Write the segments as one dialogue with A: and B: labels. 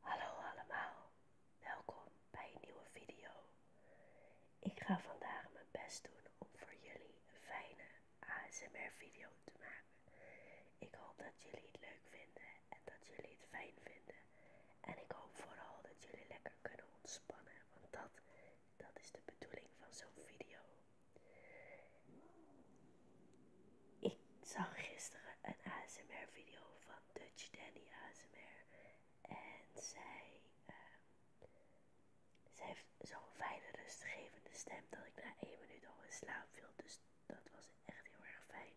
A: Hallo allemaal, welkom bij een nieuwe video. Ik ga vandaag mijn best doen om voor jullie een fijne ASMR video te maken. Ik hoop dat jullie het leuk vinden en dat jullie het fijn vinden. En ik hoop vooral dat jullie lekker kunnen ontspannen, want dat, dat is de bedoeling van zo'n video. Ik zag gisteren een ASMR video van Dutch Danny ASMR. En ehm, zij, heeft zo'n fijne rustgevende stem dat ik na één minuut al in slaap viel. Dus dat was echt heel erg fijn.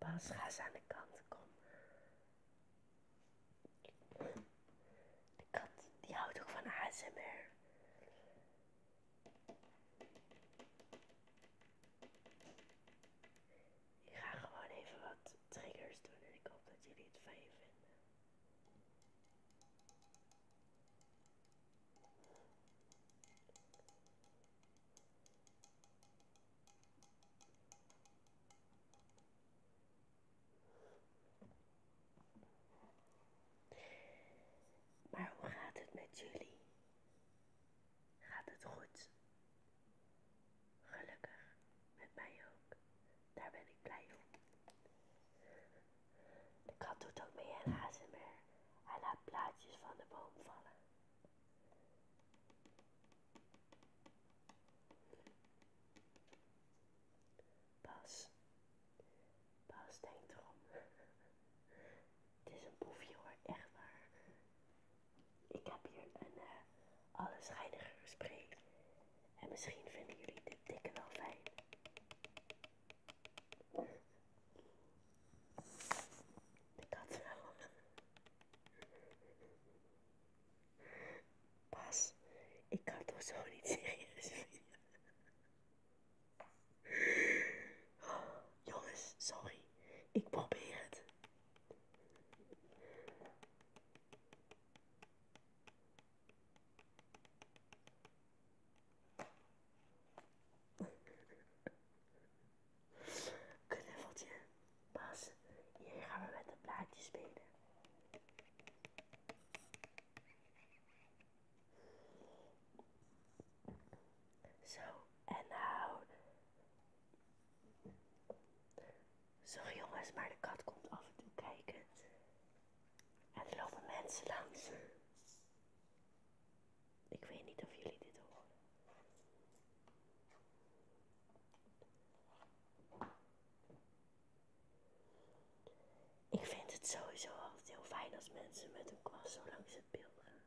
A: Pas, ga aan de kant, kom. De kat, die houdt ook van ASMR. Ik ga gewoon even wat triggers doen en ik hoop dat jullie het fijn vinden. Maar hoe gaat het met jullie? Gaat het goed? Gelukkig, met mij ook. Daar ben ik blij om. De kat doet ook mee aan ASMR. Hij laat plaatjes van de boom vallen. Pas pas. denkt erom. Het is een boefje hoor, echt waar. Ik heb hier een uh, eh, gesprek En misschien vinden jullie dit dikke wel fijn. Ik had wel. Pas, ik kan toch zo niet serieus oh, Jongens, sorry. Ik probeer het. Knuffeltje, Bas, hier gaan we met een plaatje spelen. Zo, en nou. zo jongens, maar de kat komt af en toe kijken. En er lopen mensen langs. Ik weet niet of jullie dit horen. Ik vind het sowieso altijd heel fijn als mensen met een kwast zo langs het beeld gaan.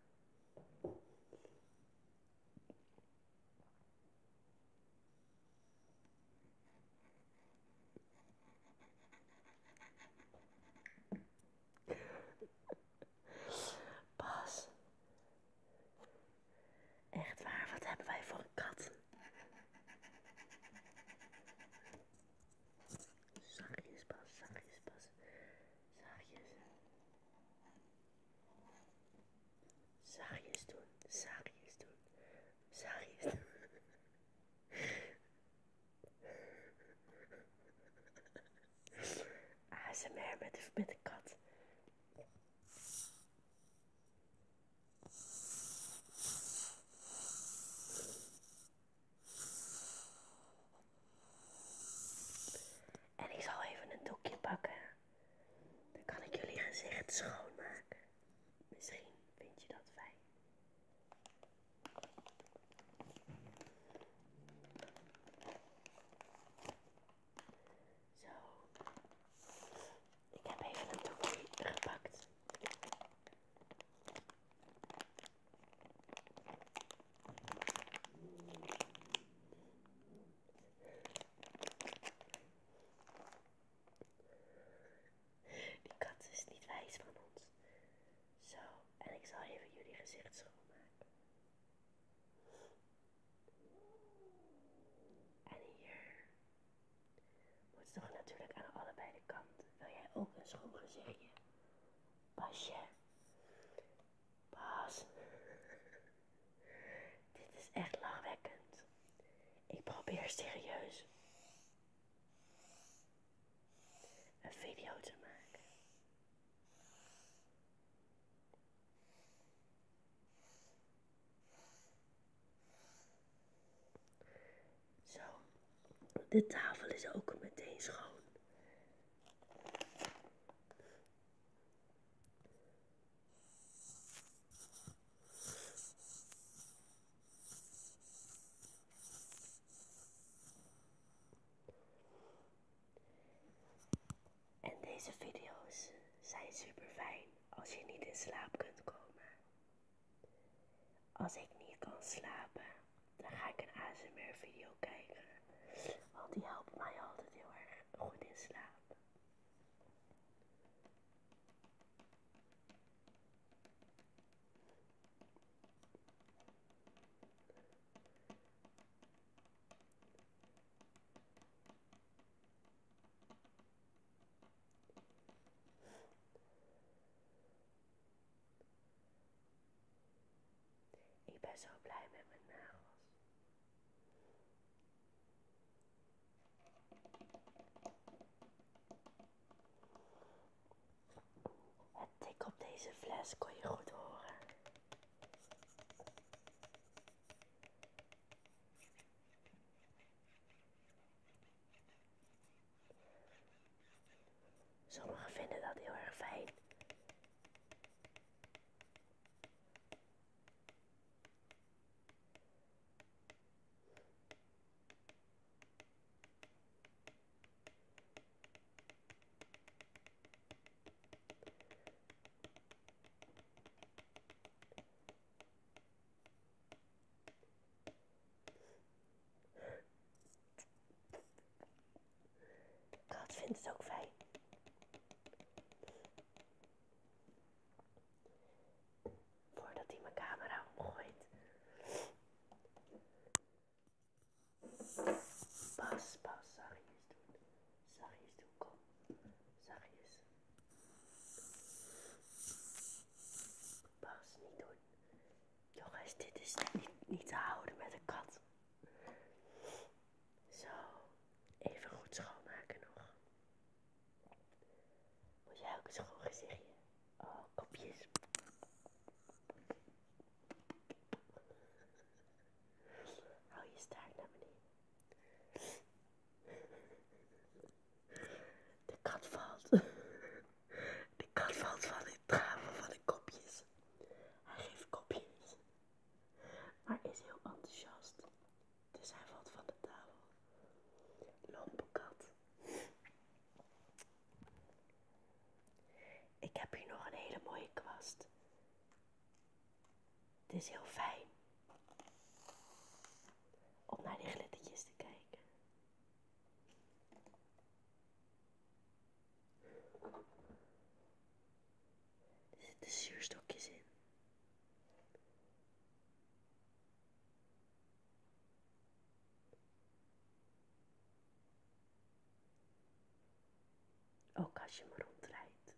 A: Pas. Echt waar, wat hebben wij voor een kat? Zachtjes, Pas, zachtjes, Pas. Zachtjes. Zachtjes doen, zachtjes doen. Sorry. Als een de, met de kat. En ik zal even een doekje pakken. Dan kan ik jullie gezicht schoonmaken. Misschien vind je dat fijn. Zo. Ik heb even een doekje gepakt. Die kat is niet wijs van ons. Zo, en ik zal even jullie gezicht schoonmaken. En hier moet toch natuurlijk aan allebei de kanten. Wil jij ook een schoon gezichtje? Pasje. Pas. Dit is echt lachwekkend. Ik probeer serieus een video te maken. Zo, de tafel is ook meteen schoon. En deze video's zijn super fijn als je niet in slaap kunt komen. Als ik niet kan slapen, dan ga ik een ASMR video kijken. Want die helpt mij altijd heel erg goed in slaap. Ik ben zo blij met mijn nagels. Het tik op deze fles kon je goed horen. Sommigen vinden dat heel erg fijn. Kat vindt het ook fijn. Voordat hij mijn camera omgooit. Pas, pas, zachtjes doen. Zachtjes doen, kom. Zachtjes. Pas, niet doen. Jongens, dit is niet, niet te houden met een kat. Zo, even goed schoonmaken nog. Moet jij ook een schoon gezichtje? Oh, kopjes. Hou je staart naar beneden. De kat valt. De kat valt van de traven van de kopjes. Hij geeft kopjes maar is heel enthousiast. Dus hij valt van de tafel. Lampenkat. Ik heb hier nog een hele mooie kwast. Het is heel fijn om naar die glittertjes te kijken. Er zitten zuurstokjes in. Ook als je rondrijdt.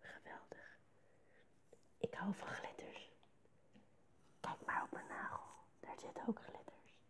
A: Geweldig. Ik hou van glitters. Kijk maar op mijn nagel. Daar zitten ook glitters.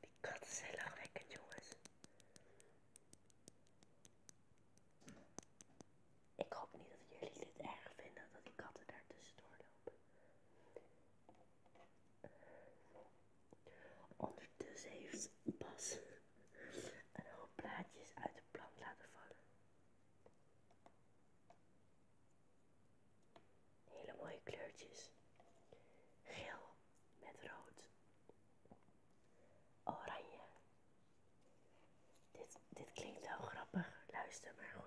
A: Die katten zijn lachwekkend, jongens. Ik hoop niet dat jullie dit erg vinden dat die katten daartussen doorlopen, Ondertussen heeft pas een hoop plaatjes uit de plant laten vallen. Hele mooie kleurtjes. Geel met rood. Oranje. Dit, dit klinkt wel grappig. Luister maar goed.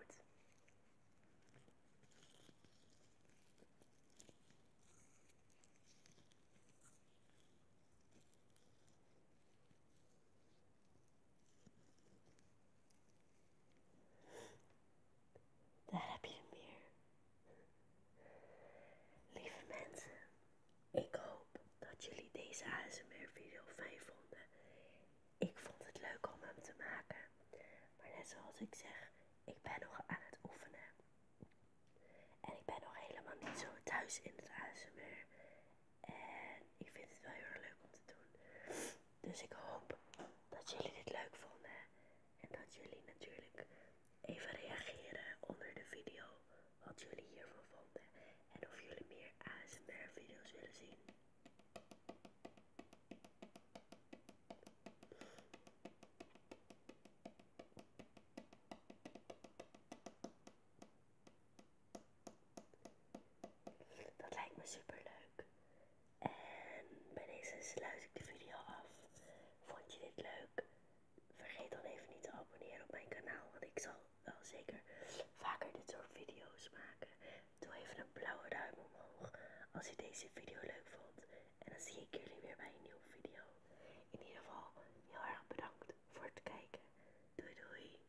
A: Daar heb je hem weer. Lieve mensen, ik hoop dat jullie deze ASMR-video fijn vonden. Ik vond het leuk om hem te maken. Maar net zoals ik zeg, ik ben nog aan het oefenen. En ik ben nog helemaal niet zo thuis in het ASMR. En ik vind het wel heel erg leuk om te doen. Dus ik hoop dat jullie dit leuk vonden. En dat jullie natuurlijk even reageren onder de video. Wat jullie hiervan vonden. En of jullie meer ASMR video's willen zien. Dat lijkt me super leuk. En bij deze sluit ik de video af. Vond je dit leuk? Vergeet dan even niet te abonneren op mijn kanaal, want ik zal wel zeker vaker dit soort video's maken. Doe even een blauwe duim omhoog als je deze video leuk vond. En dan zie ik jullie weer bij een nieuwe video. In ieder geval heel erg bedankt voor het kijken. Doei doei!